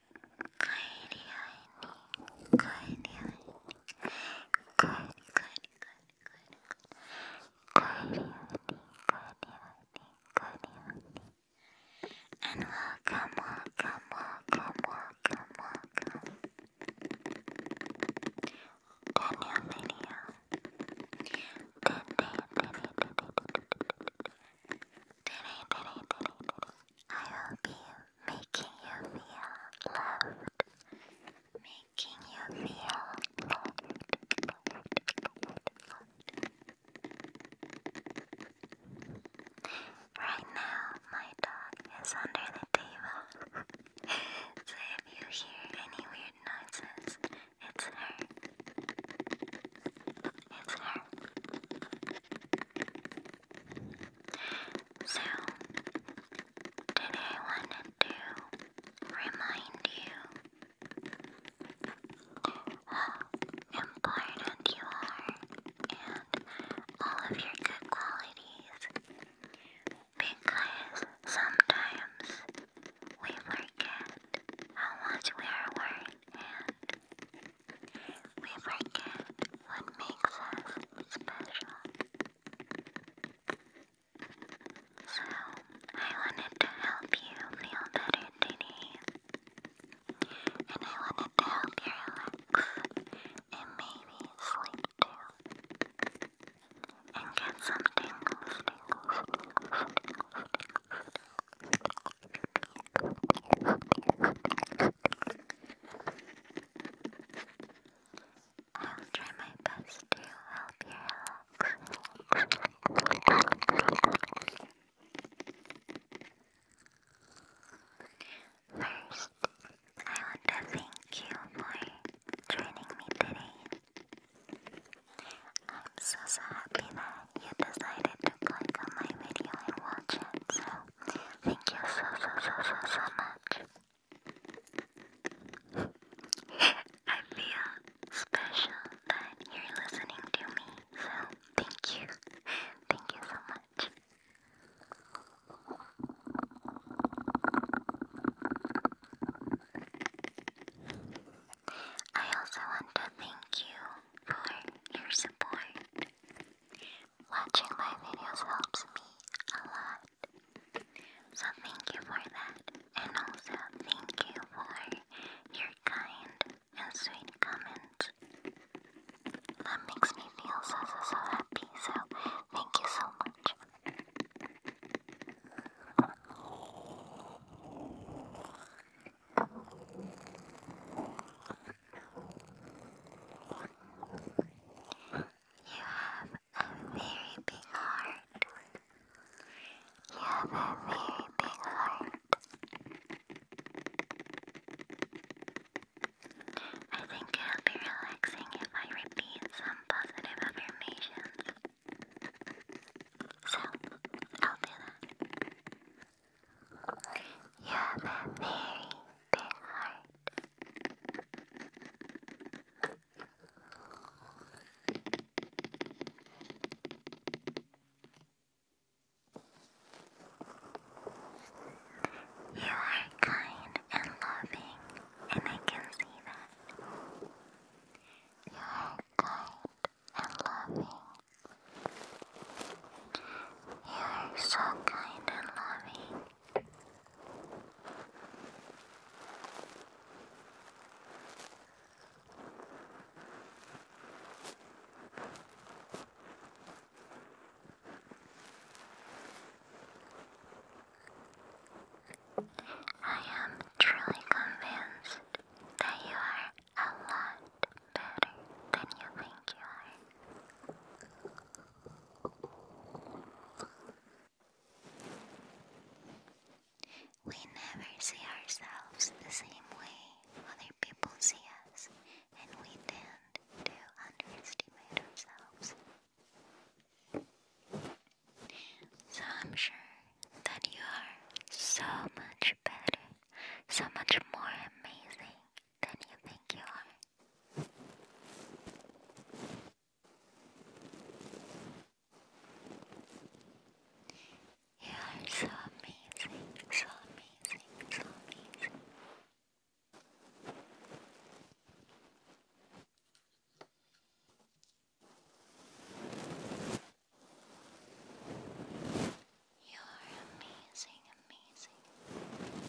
Good, good, good, good, good, And welcome, welcome, welcome, welcome, welcome. To new video. I hope you making you feel loved, making you feel loved. Right now, my dog is under the table, so if you hear any weird noises, it's her. It's her. So, today I wanted to remind you how important you are and all of your good qualities because sometimes we forget how much we are worth we like What makes us special? So, I wanted to help you feel better today. And I wanted to help you relax and maybe sleep too. And get some tingles, tingles, tingles, tingles, tingles, tingles. I'll try my best to help you relax. First, I want to thank you for joining me today. I'm so, so happy that you decided to click on my video and watch it, so Thank you so, so, so, so, so much. I feel special that you're listening to me, so thank you. Thank you so much. I also want to thank you for your support. Watching my videos helps me a lot. So thank you for that. And also thank you for your kind and sweet comments. That makes me feel so so so happy. So thank you so much. You have a very big heart. You have a very big heart. I think it'll be relaxing if I repeat some positive affirmations. So, I'll do that. You have a very big heart. You are kind and loving, and I can see that. You are kind and loving. You are so kind and loving. I am truly convinced that you are a lot better than you think you are. We never see ourselves the same way other people see us, and we tend to underestimate ourselves. So I'm sure that you are so much better, so much more amazing than you think you are. You are so amazing, so amazing, so amazing. You are amazing, amazing.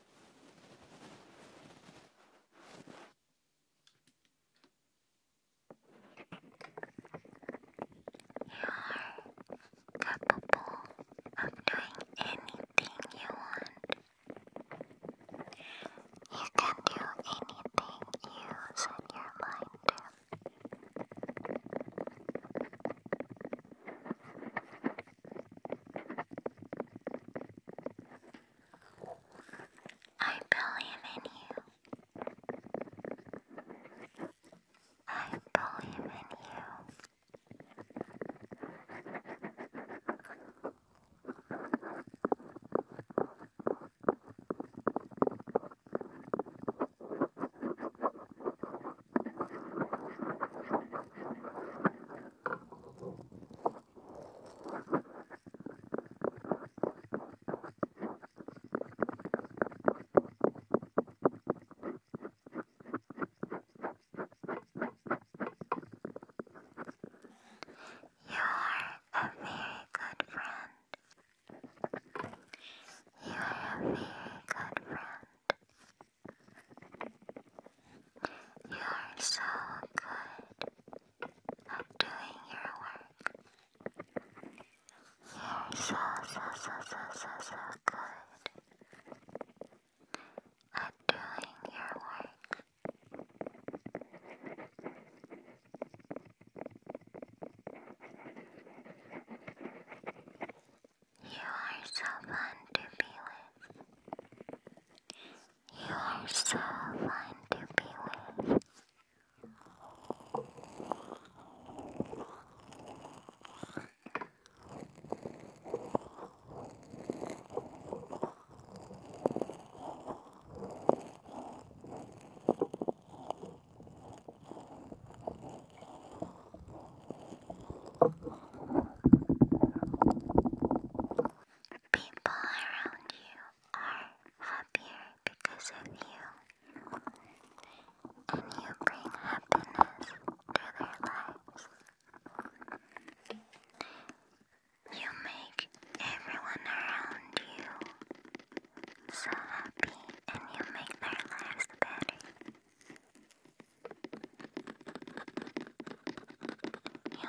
You're capable of doing anything you want. You can do anything you set your mind to. I believe in you. I believe in you a very good friend. You are a very good friend. You're so good at doing your work. You're so, so, so, so, so, so good at doing your work. You are so fun to be with. You are so fun to be with. People around you are happier because of you, and you bring happiness to their lives. You make everyone around you so happy, and you make their lives better people's lives better. You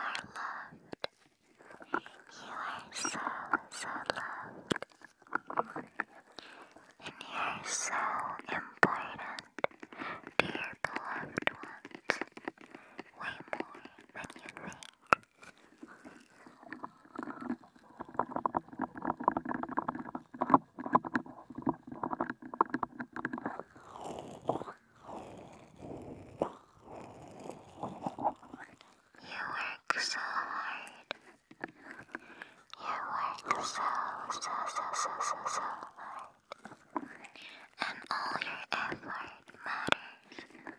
are loved. You are so, so loved. And you are so important dear beloved ones, way more than you think. You work so hard. You work so, so, so, so, so, so hard and all your effort matters.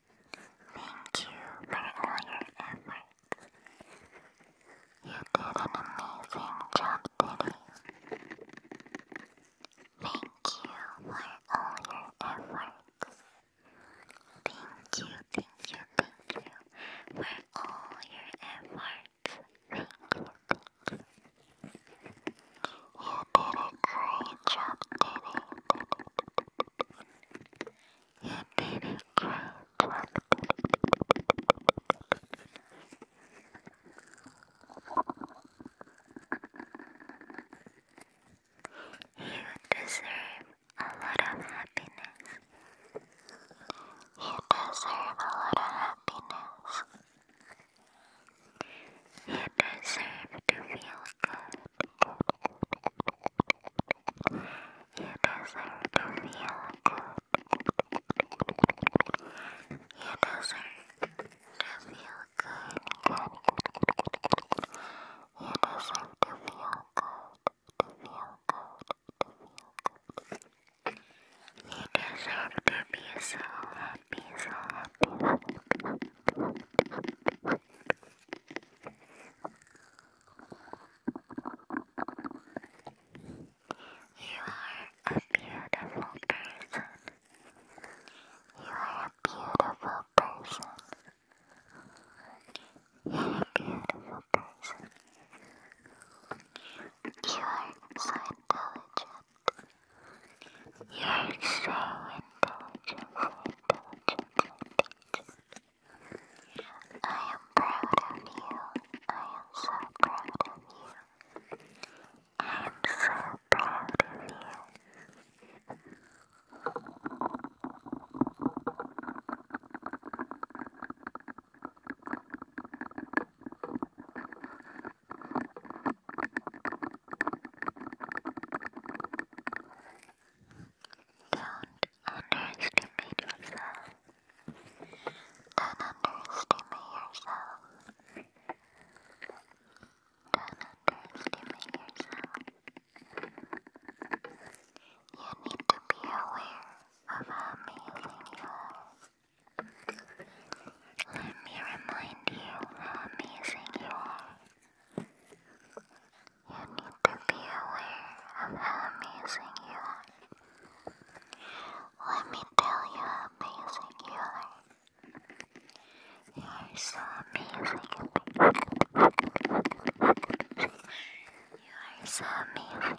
Thank you for all your effort. You did an amazing job today. Thank you for all your efforts. Thank you, thank you, thank you for all your efforts. Thank you, thank you. You did a great job today. You deserve a lot of happiness. You deserve a lot of happiness. It deserve to feel good. You deserve to feel good. You deserve to feel good. You deserve to feel good. To feel good. To feel good. You deserve to be so happy, so happy. You are a beautiful person. You are a beautiful person. a beautiful person. You are intelligent. You are so intelligent. I am proud of you. I am so proud of you. I am so proud of you. Don't underestimate yourself. Don't underestimate yourself. Don't underestimate yourself. You need to be aware of how amazing you are. Let me remind you how amazing you are. You need to be aware of how amazing you are. Let me tell you how amazing you are. You are so amazing. you are so amazing.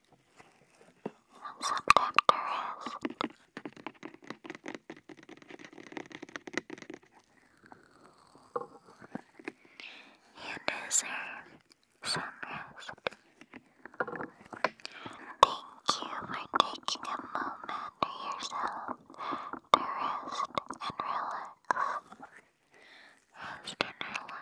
and subtractor is. You deserve some rest. Thank you for taking a moment to yourself to Rest and relax. Rest and relax.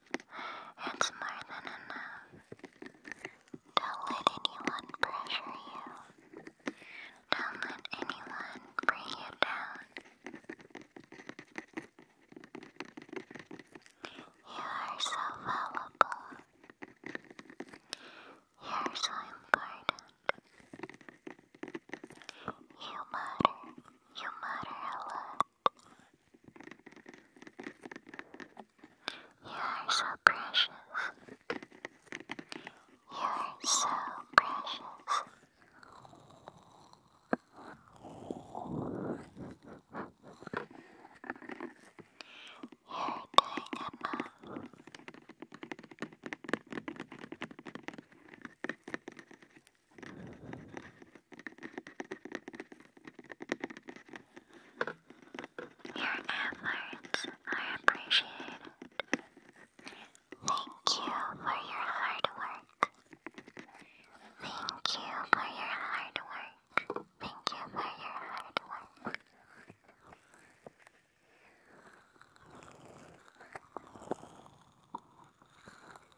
It's more than enough. Don't let anyone pressure you. Don't let anyone bring you down. You are so valuable. You are so important. You matter. You matter a lot. You are so precious. You are so precious. You're takeable. You your efforts are appreciated. Thank you for your hard work. Thank you for your hard work. Thank you for your hard work.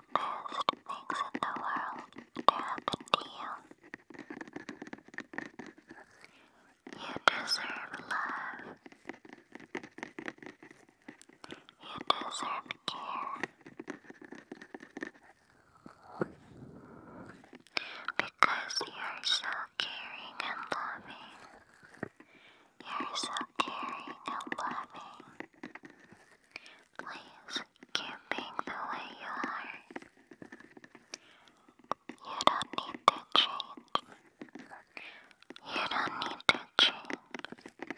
good things in the world happen to you. You deserve love. You deserve care. Because you are so caring and loving. You are so caring and loving. Please keep being the way you are. You don't need to change. You don't need to change.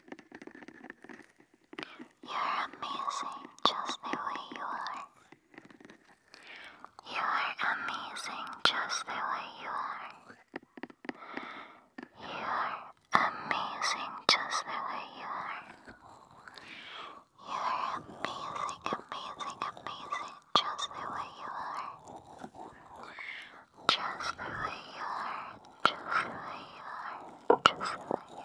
You're amazing just the way you are. You are amazing just the way you are. You are amazing just the way you are. You are amazing, amazing, amazing just the way you are. Just the way you are. Just the way you are. Just the way you are.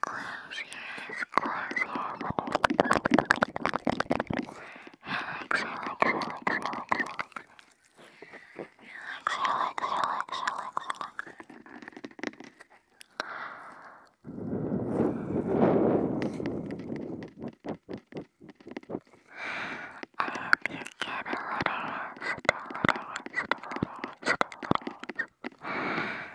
Close your eyes, close your eyes. Relax, relax, relax, relax, relax. Relax, relax, relax, relax, relax. I hope you get a little rest, a little rest, a little rest, a little rest.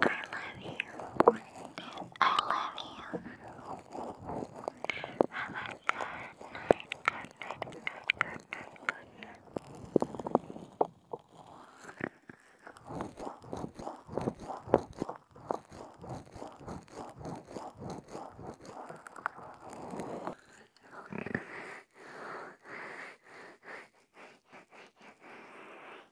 I love you. I love you. Have a good